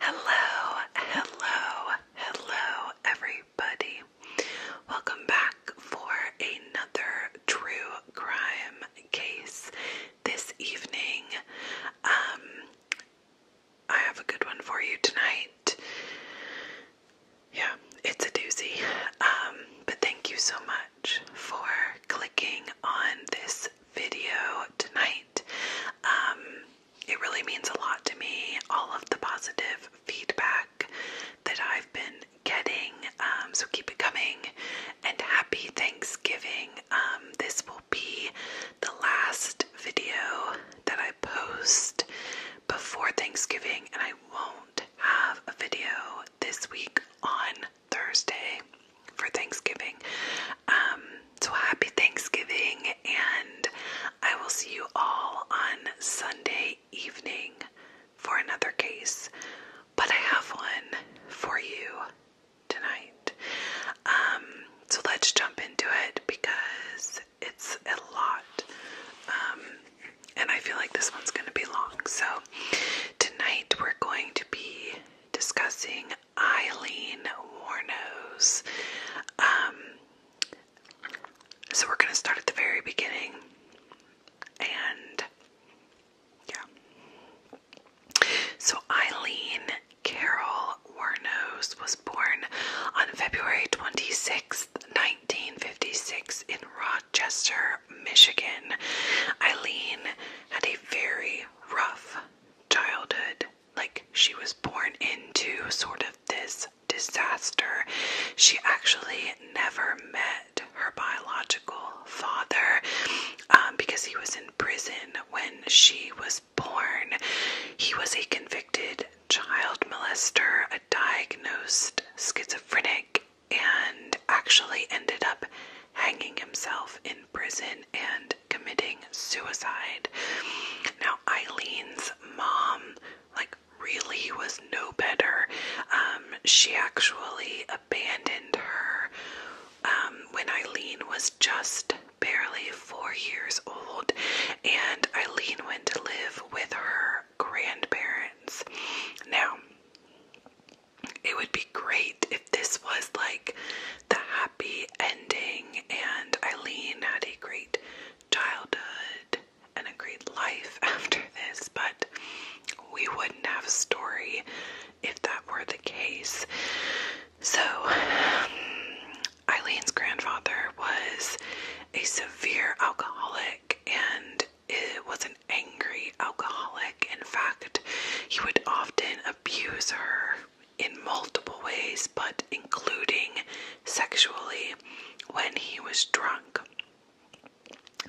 Hello, hello, hello, everybody. Welcome back for another true crime case this evening. Um, I have a good one for you tonight. Yeah, it's a doozy. Um, but thank you so much for clicking on this video tonight. Um, it really means a lot to me. All of the positive feedback that I've been getting. Um, so keep it coming and happy Thanksgiving. Um, this will be the last video that I post before Thanksgiving, and I won't have a video this week on Thursday for Thanksgiving. Um, so happy Thanksgiving, and I will see you all on Sunday evening for another case. But I have one for you tonight. Um, so let's jump into it because it's a lot. Um, and I feel like this one's going to be long. So tonight we're going to be discussing Eileen Warnos. Um, so we're going to start at the very beginning. And yeah. So Eileen Carol Warnos was born on February 26th, 1956 in Rochester, Michigan. Eileen had a very rough childhood like she was born into sort of this disaster. She actually never met her biological father um, because he was in prison when she was born. He was a convicted child molester, a diagnosed schizophrenic, and actually ended up hanging himself in prison and committing suicide. Now, Eileen's mom, like, really was no better. Um, she actually abandoned her um, when Eileen was just barely four years old, and Eileen went to live with her grandparents. Now, it would be great if this was like the ending, and Eileen had a great childhood and a great life after this, but we wouldn't have a story if that were the case. So, Eileen's grandfather was a severe alcoholic and it was an angry alcoholic. In fact, he would often abuse her in multiple ways, but including sexually when he was drunk.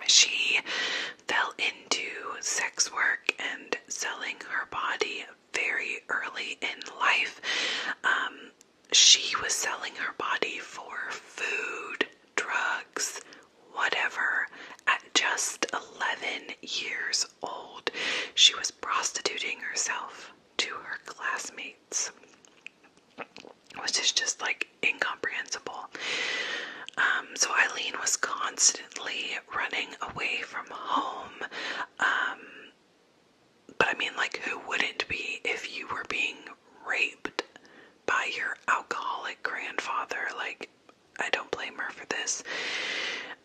She fell into sex work and selling her body very early in life. Um, she was selling her body for food, drugs, whatever, at just 11 years old, she was prostituting herself to her classmates, which is just like incomprehensible. Um, so Eileen was constantly running away from home. Um, but I mean, like, who wouldn't be if you were being raped by your alcoholic grandfather? Like, I don't blame her for this.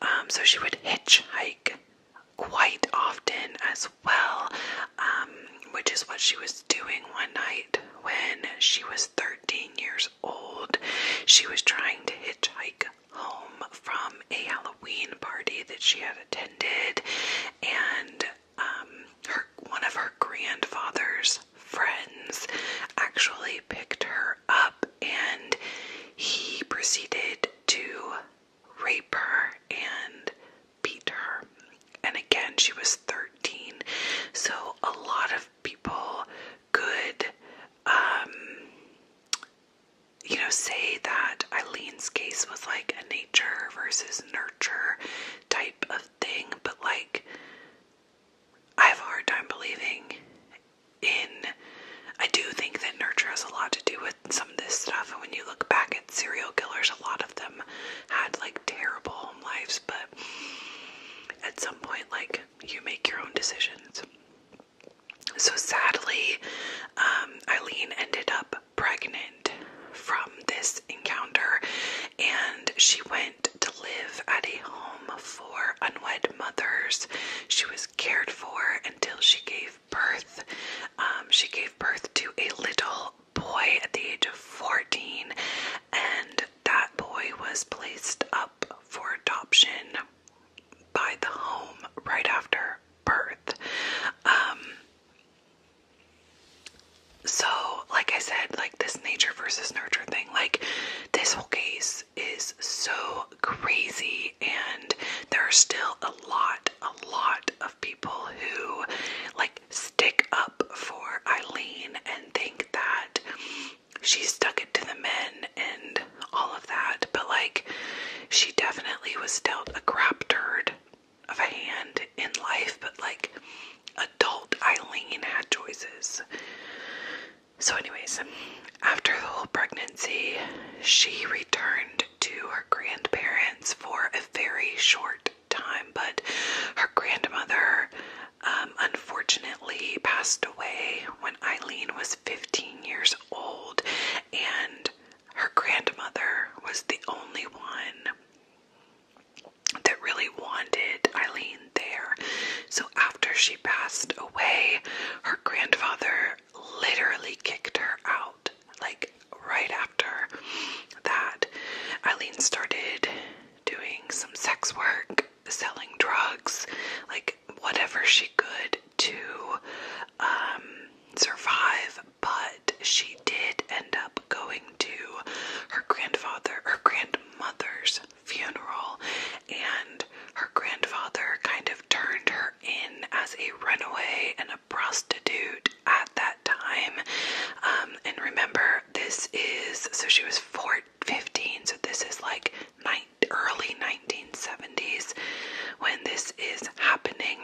Um, so she would hitchhike quite often as well, um, which is what she was doing one night when she was 13 years old. She was trying to hitchhike home from a Halloween party that she had attended, and um, her, one of her grandfather's friends actually picked her up, and he proceeded to rape her and beat her. And again, she was 13. So a lot of people could, um, you know, say that Eileen's case was like a nature versus nurture type of thing, but like, I have a hard time believing in. I do think that nurture has a lot to do with some of this stuff, and when you look back at serial killers, a lot of them had like terrible home lives, but at some point, like, you make your own decisions. So sadly, um, Eileen ended up pregnant from this encounter, and she went to live at a home for unwed mothers. She was cared for until she gave birth. Um, she gave birth to a little boy at the age of 14, and that boy was placed up for adoption by the home right after birth. Um, so, like I said, like this nature versus nurture thing, like this whole case is so crazy, and there are still a lot, a lot of people who like stick up for Eileen and think that she stuck it to the men and all of that, but like she definitely was dealt a crap turd of a hand in life, but like adult Eileen had choices. So, anyways, after the whole pregnancy, she returned to her grandparents for a very short time, but her grandmother um, unfortunately passed away when Eileen was 15 years old, and her grandmother was the only one that really wanted Eileen there. So after she passed away, her grandfather literally kicked her out. Like right after that, Eileen started doing some sex work, selling drugs, like whatever she could to um, survive. But she did end up going to her grandfather, her grandmother's funeral, and her grandfather kind of turned her in as a runaway and a prostitute at that time. Um, and remember, this is so she was 14, 15, so this is like nine, early 1970s when this is happening.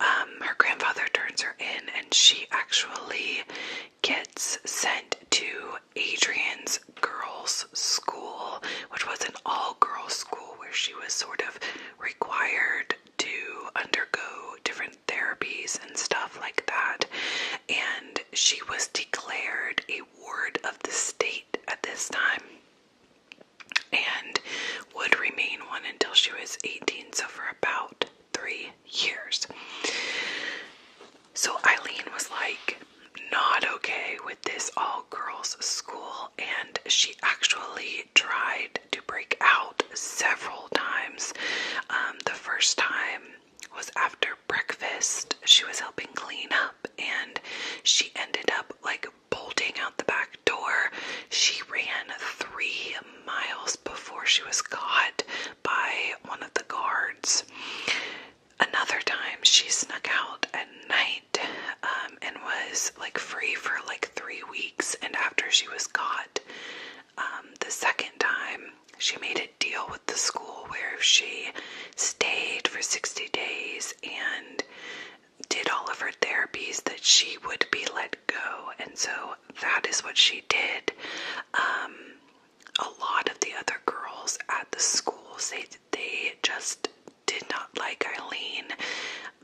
Um, her grandfather turns her in, and she actually gets sent to Adrian's girls' school, which was an all girls school where she was sort of required to undergo different therapies and stuff like that. And she was declared a ward of the state at this time and would remain one until she was 18, so for about three years. So Eileen was like, not okay with this all girls school and she actually tried to break out several times. Um, the first time was after breakfast. She was helping clean up and she ended up like bolting out the back door. She ran three miles before she was caught by one of the guards. Another time, she snuck out night um, and was like free for like three weeks. And after she was caught um, the second time, she made a deal with the school where if she stayed for 60 days and did all of her therapies that she would be let go and so that is what she did um, a lot of the other girls at the school say they just did not like Eileen,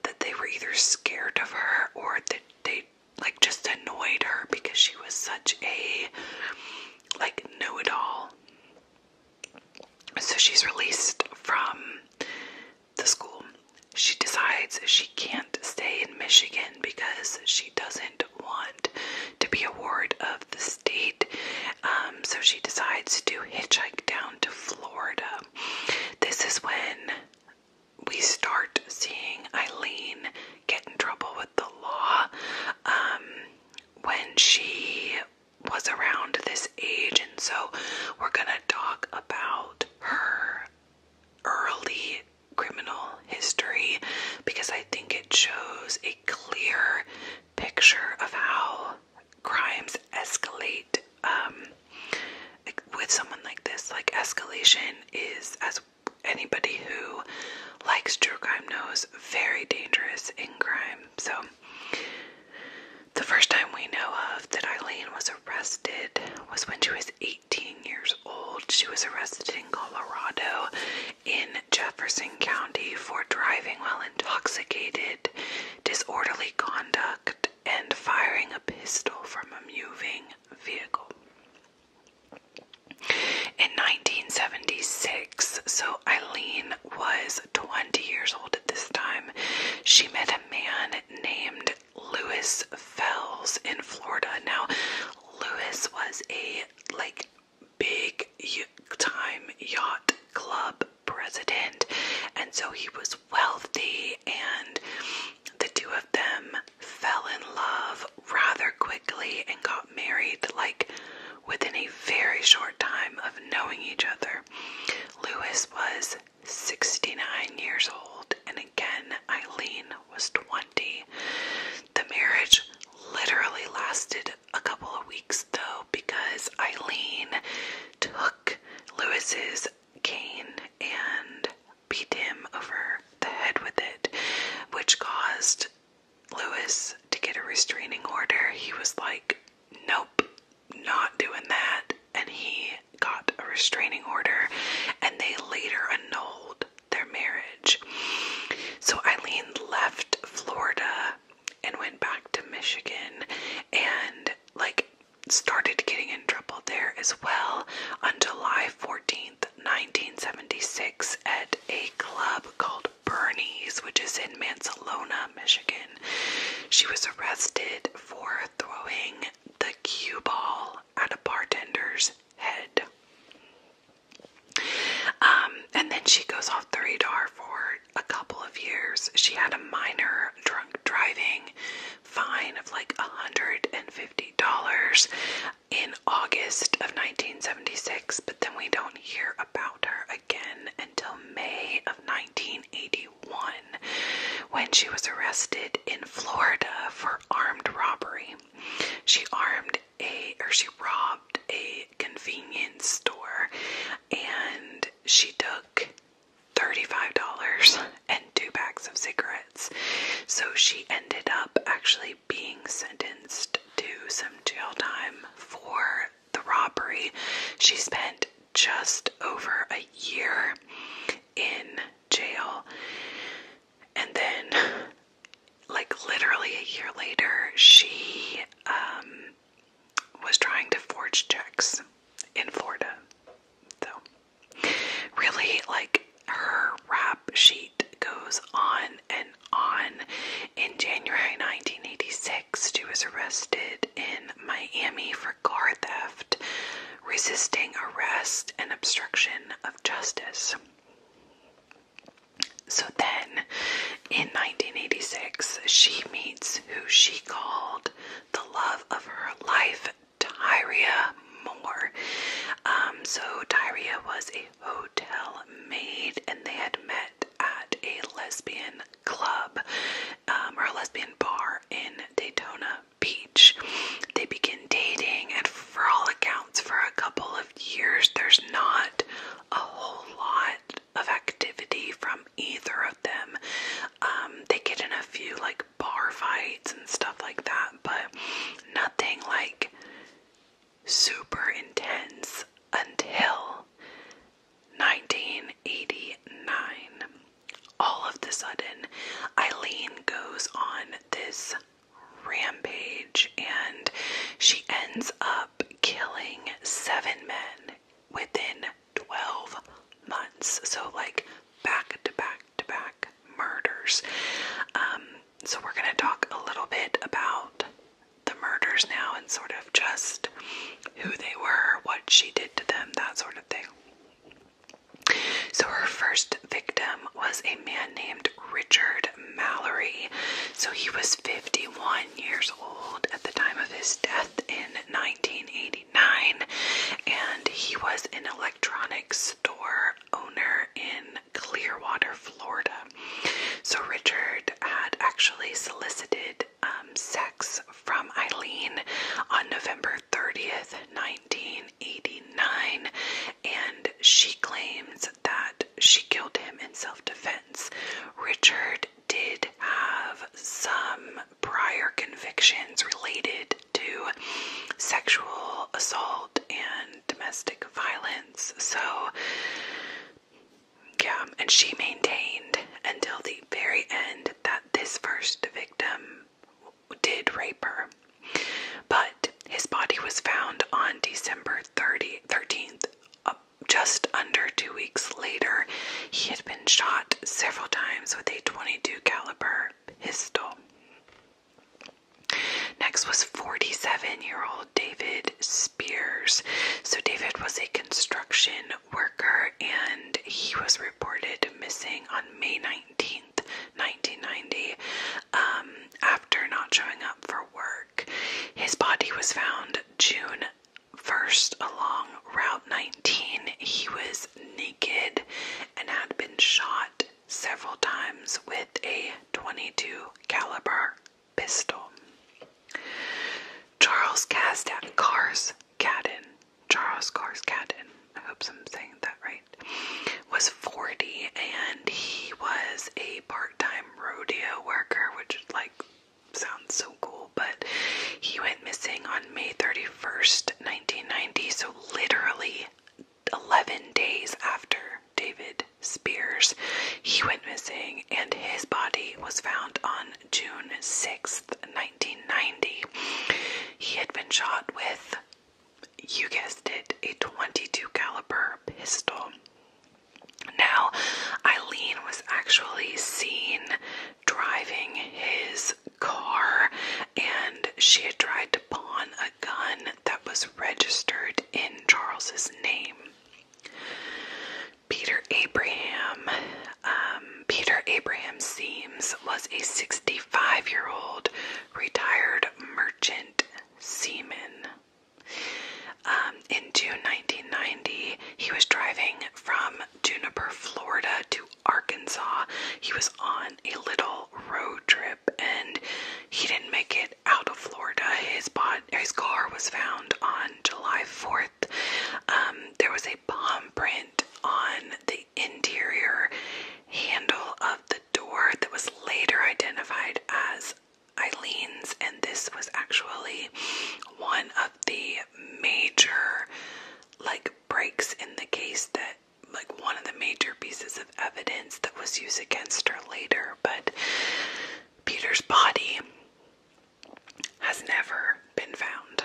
that they were either scared of her or that they like just annoyed her because she was such a like know-it-all. So she's released from the school. She decides she can't stay in Michigan because she doesn't want to be a ward of the state. Um, so she decides to hitchhike down to Florida. This is when we start seeing Eileen get in trouble with the law. Um, when she was around this age, and so we're gonna talk about her early criminal history because I think it shows a clear picture of how crimes escalate um, with someone like this. Like, escalation is, as anybody who likes true crime knows, very dangerous in crime. So, the first time we know of that Eileen was arrested was when she was 18 years old. She was arrested in Colorado in Jefferson County for driving while intoxicated, disorderly conduct, and firing a pistol from a moving vehicle. In 1976, so Eileen was 20 years old at this time, she met a man named Lewis Fells in Florida. Now, Lewis was a like big time yacht club president, and so he was was wealthy, and the two of them fell in love rather quickly and got married, like within a very short time of knowing each other. Lewis was 69 years old, and again, Eileen was 20. The marriage literally lasted a couple of weeks though, because Eileen took Lewis's cane and beat him over the head with it, which caused Lewis to get a restraining order. He was like, Nope, not doing that. And he got a restraining order, and they later annulled their marriage. So Eileen left Florida and went back to Michigan, and like started getting in trouble there as well on July 14th, 1976, at a club called Bernie's, which is in Mansalona, Michigan. She was arrested for throwing the cue ball at a bartender's head. Um, and then she goes off the radar for a couple of years, she had a minor drunk driving fine of like $150 in August of 1976, but then we don't hear about her again until May of 1981 when she was arrested in Florida for armed robbery. She armed a or she robbed a convenience store and she took $35 and two packs of cigarettes. So she ended up actually being sentenced to some jail time for the robbery. She spent just over a year in jail. And then, like, literally a year later, she um, was trying to forge checks in Florida. So, really, like her rap sheet goes on and on. In January 1986, she was arrested in Miami for car theft, resisting arrest, and obstruction of justice. So then, in 1986, she meets who she called the love of her life, Tyria Moore. Um, so, Tyria was a hotel maid and they had met at a lesbian club um, or a lesbian bar in Daytona Beach. They begin dating, and for all accounts, for a couple of years, there's not a whole lot of activity from either of them. Um, they get in a few like bar fights and stuff like that, but nothing like super intense until 1989. All of the sudden, Eileen goes on this rampage and she ends up killing seven men within 12 months. So, like back to back to back murders. Um, so, we're going to talk a little bit about the murders now and sort of just who they were, what she did to them, that sort of thing. So, her first victim was a man named Richard Mallory. So, he was 51 years old at the time of his death in 1989 and he was an electronics store owner in Clearwater, Florida. So Richard had actually solicited um, sex from Eileen on November 30th, 1989, and she claims that she killed him in self defense. Richard did have some prior convictions related to sexual assault and domestic violence. So, yeah, and she maintained until the very end that this first victim did rape her. But his body was found on December 30, uh, just under two weeks later he had been shot several times with a 22 caliber pistol. Next was 47-year-old David Spears. So David was a construction worker and he was reported missing on May 19th, 1990 um, after not showing up for work. His body was found June First, along Route 19, he was naked and had been shot several times with a 22 caliber pistol. Charles Casdat Cars Cadden, Charles Cars Cadden, I hope I'm saying that right, was 40 and he was a part-time rodeo worker, which like sounds so cool but he went missing on May 31st, 1990, so literally 11 days after David Spears, he went missing, and his body was found on June 6th, 1990. He had been shot with, you guessed it, a 22 caliber pistol. Now, Eileen was actually seen driving his car and she had tried to pawn a gun that was registered in Charles's name. Peter Abraham, um, Peter Abraham Seams was a 65 year old retired merchant seaman. Um, in June 1990, he was driving from Juniper, Florida to Arkansas. He was on a little road trip and he didn't make it out of Florida. His bod, his car was found on July 4th. Um, there was a palm print on the interior handle of the door that was later identified as Eileen's, and this was actually one of the major, like, breaks in the case that like one of the major pieces of evidence that was used against her later, but Peter's body has never been found.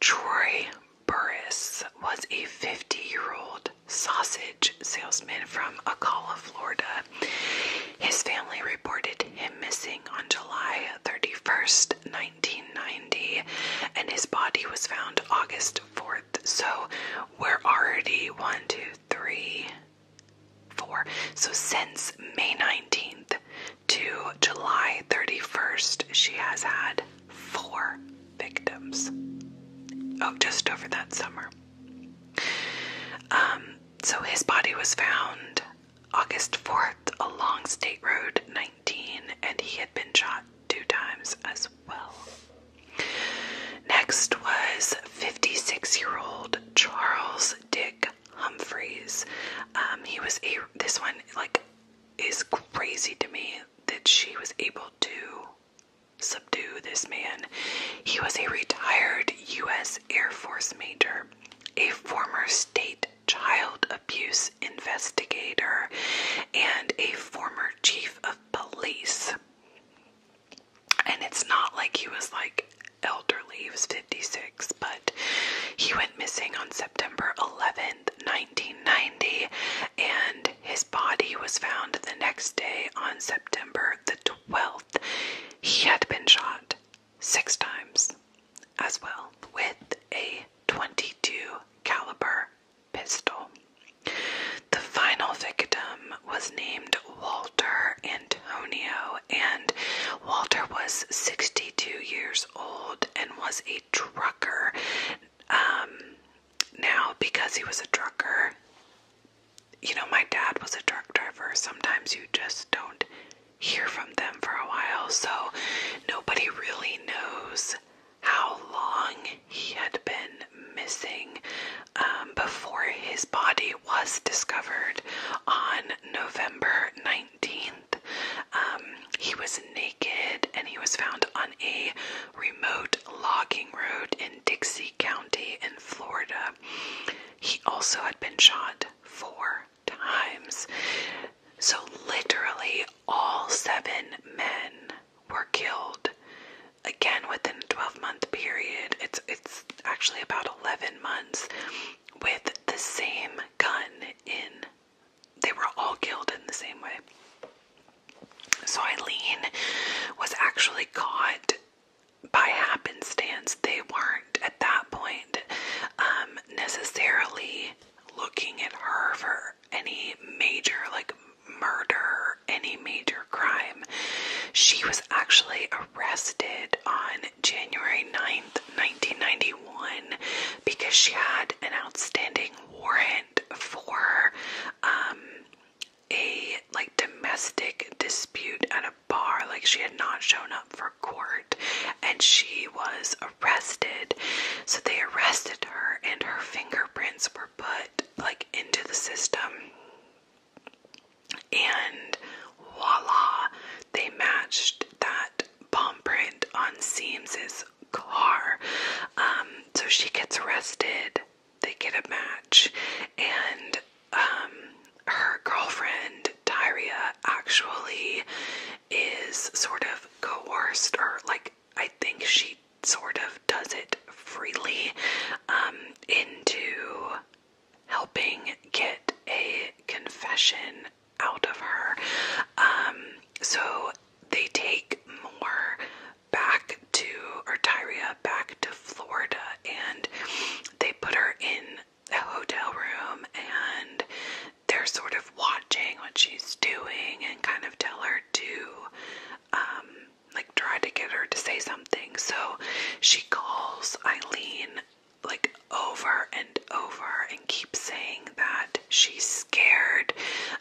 Troy Burris was a 50 year old sausage salesman from Acala, Florida. His family reported him missing on July 31st, 1990, and his body was found August 4th. So we're already one, two, three, four. So since May 19th to July 31st, she has had four victims. Oh, just over that summer. Um, so his body was found August 4th along State Road 19 and he had been shot two times as well. Next was 56 year old Charles Dick Humphreys. Um, he was a, this one like is crazy to me that she was able to subdue this man. He was a retired U.S. Air Force major, a former state child abuse investigator and a former chief of police. And it's not like he was like elderly, he was 56, but he went missing on September 11th, 1990, and his body was found the next day on September the 12th. He had been shot six times as well with a 22 caliber pistol. The final victim was named Walter Antonio and Walter was 62 years old and was a trucker. Um, now because he was a trucker, you know, my dad was a truck driver. Sometimes you just don't hear from them for a while, so nobody really knows how long he had been missing um, before his body was discovered on November 19th. Um, he was naked and he was found on a remote logging road in Dixie County in Florida. He also had been shot four times. So, literally, all seven men were killed again within a 12 month period. It's, it's actually about 11 months with the same gun in. They were all killed in the same way. So, Eileen was actually caught by happenstance. They weren't at that point um, necessarily looking at her for any major like murder, any major crime. She was actually arrested on January 9th, 1991 because she had an outstanding warrant for um, a like domestic dispute at a bar like she had not shown up for court and she was arrested. So they arrested her and her fingerprints were put like into the system. And voila, they matched that palm print on Seams's car. Um, so she gets arrested, they get a match, and um, her girlfriend that actually is sort of coerced, or like I think she sort of does it freely um, into helping get a confession out of her. Um, so they take more back to or Tyria back to Florida and they put her in a hotel room and they're sort of watching what she's doing and kind of tell her to um like try to get her to say something. So she calls Eileen like over and over and keeps saying that she's scared.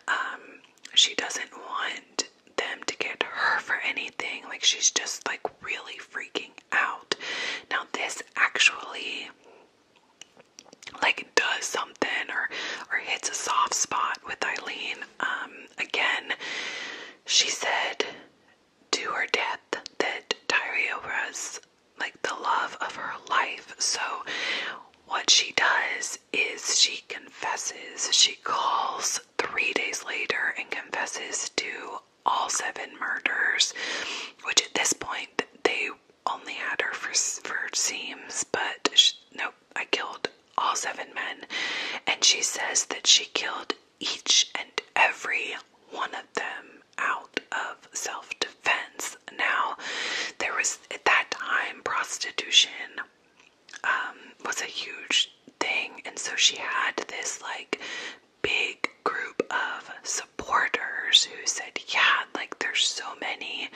Um, she doesn't want them to get her for anything. Like she's just like really freaking out. Now this actually like does something or or hits a soft spot with Eileen. Um, again, she said to her death that Tyria was like the love of her life. So what she does is she confesses. She calls three days later and confesses to all seven murders, which at this point they only had her for, for seams, but nope, I killed all seven men. And she says that she killed each and every one of them out of self defense. Now, there was at that time prostitution um, was a huge thing, and so she had this like big group of supporters who said, Yeah, like there's so many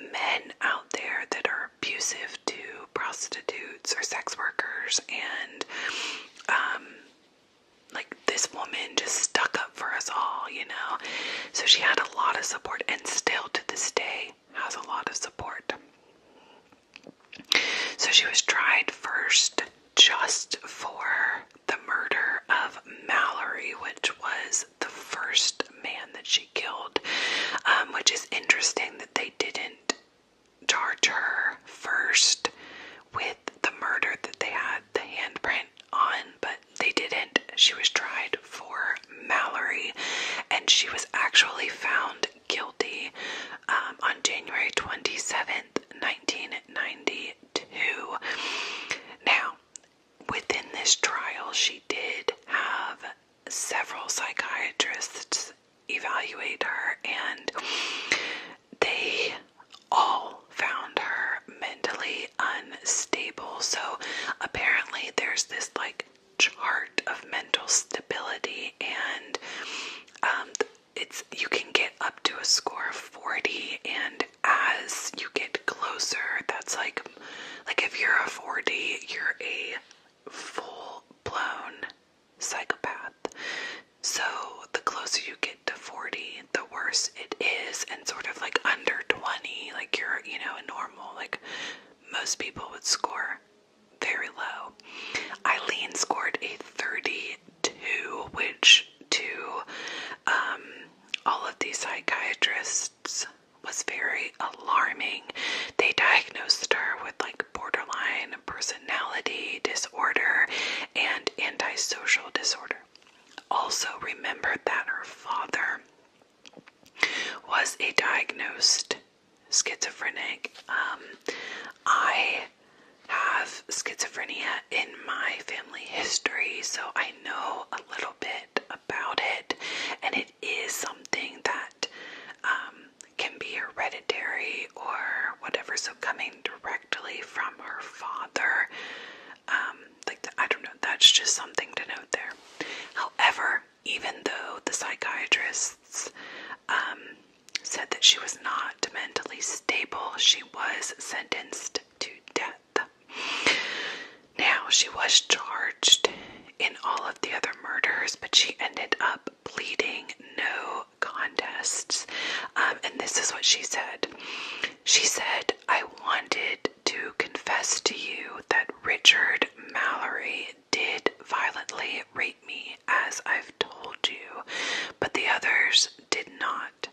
men out there that are abusive to prostitutes or sex workers, and um, like this woman just stuck up for us all, you know? So she had a lot of support, and still to this day has a lot of support. So she was tried first just for the murder of Mallory, which was the first man that she killed, um, which is interesting that they didn't charge her first with the murder that they had the handprint on, but they didn't. She was tried for Mallory, and she was actually found guilty um, on January 27th, 1992. Now, within this trial, she did have several psychiatrists evaluate her, and they all found her mentally unstable. So apparently, there's this like chart of mental stability, and um, it's you can get up to a score of 40, and as you get closer. That's like like if you're a 40, you're a full blown psychopath. So the closer you get to 40, the worse it is and sort of like under 20, like you're, you know, a normal like most people would score very low. Eileen scored a 32, which to um, all of these psychiatrists was very alarming. They diagnosed her with like borderline personality disorder and antisocial disorder. Also, remembered that her father was a diagnosed schizophrenic. Um, I have schizophrenia in my family history, so I know a little bit about it, and it is something that um, can be hereditary or whatever. So, coming directly from her father, um, like I don't know, that's just something to note there. However, even though the psychiatrists um, said that she was not mentally stable, she was sentenced to death now, she was charged in all of the other murders, but she ended up pleading no contests. Um, and this is what she said She said, I wanted to confess to you that Richard Mallory did violently rape me, as I've told you, but the others did not.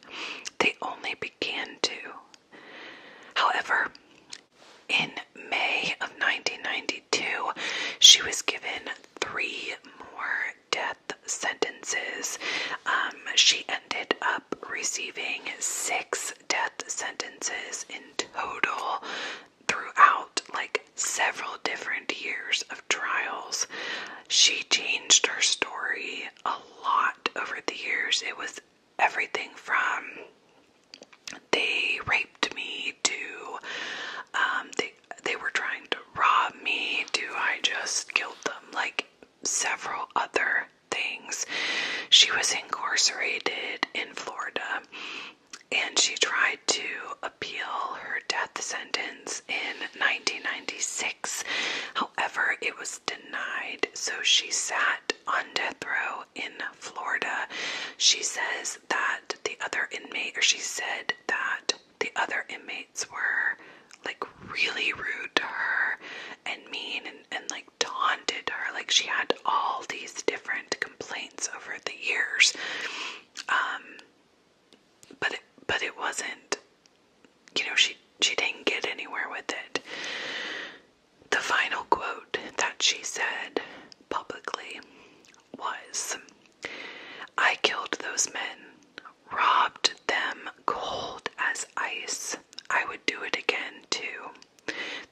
They only began to. However, in May of 1992, she was given three more death sentences. Um, she ended up receiving six death sentences in total throughout like several different years of trials. She changed her story a lot over the years. It was everything from they raped me to um, they they were trying to rob me to I just killed them like several other things. She was incarcerated in Florida and she tried to appeal her death sentence in 1996. However, it was denied denied, so she sat on death row in Florida. She says that the other inmate, or she said that the other inmates were like really rude to her and mean and, and like taunted her. Like she had all these different complaints over the years. Um, but it, but it wasn't, you know, she she didn't get anywhere with it. The final quote that she said publicly was I killed those men, robbed them cold as ice. I would do it again, too.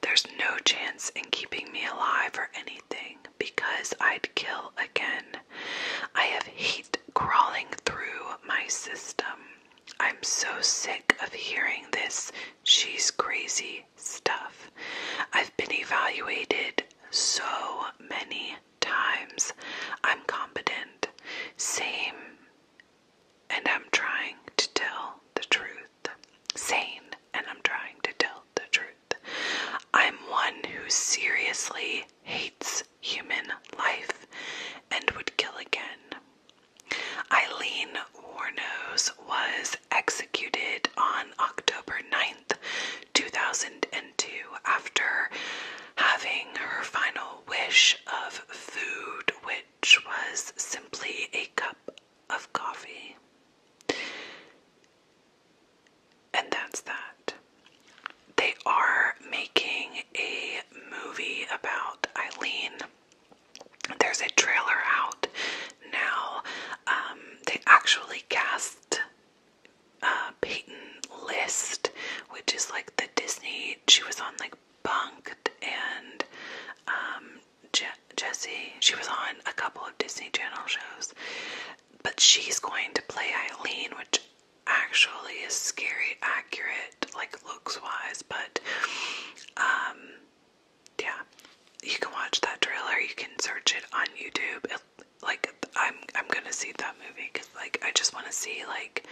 There's no chance in keeping me alive or anything because I'd kill again. I have hate crawling through my system. I'm so sick of hearing this she's crazy stuff. I've been evaluated so many times. I'm competent. Same. And I'm trying to tell the truth. Sane. And I'm trying to tell the truth. I'm one who seriously hates human life and would kill again. Eileen Warnos was executed on October 9th, 2002, after having her final wish of food, which was simply a cup of coffee. And that's that. They are making a movie about Eileen. There's a trailer out now. Um, they actually cast uh, Peyton List, which is like the Disney. She was on like Bunked and um, Jesse. She was on a couple of Disney Channel shows, but she's going to play Eileen, which actually is scary accurate. Like looks wise, but um, yeah, you can watch that trailer. You can search it on YouTube. like I'm, I'm gonna see that movie because like I just want to see like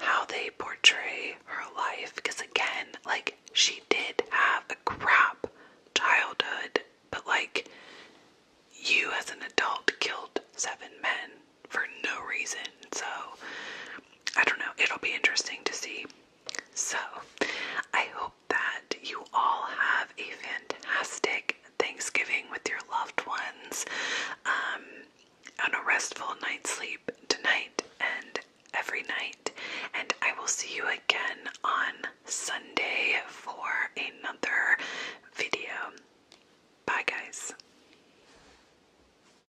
how they portray her life. Because again, like she did have a crap childhood, but like you as an adult killed seven men for no reason. So I don't know, it'll be interesting to see. So, I hope that you all have a fantastic Thanksgiving with your loved ones, and um, a restful night's sleep tonight and every night. And I will see you again on Sunday for another video. Bye, guys.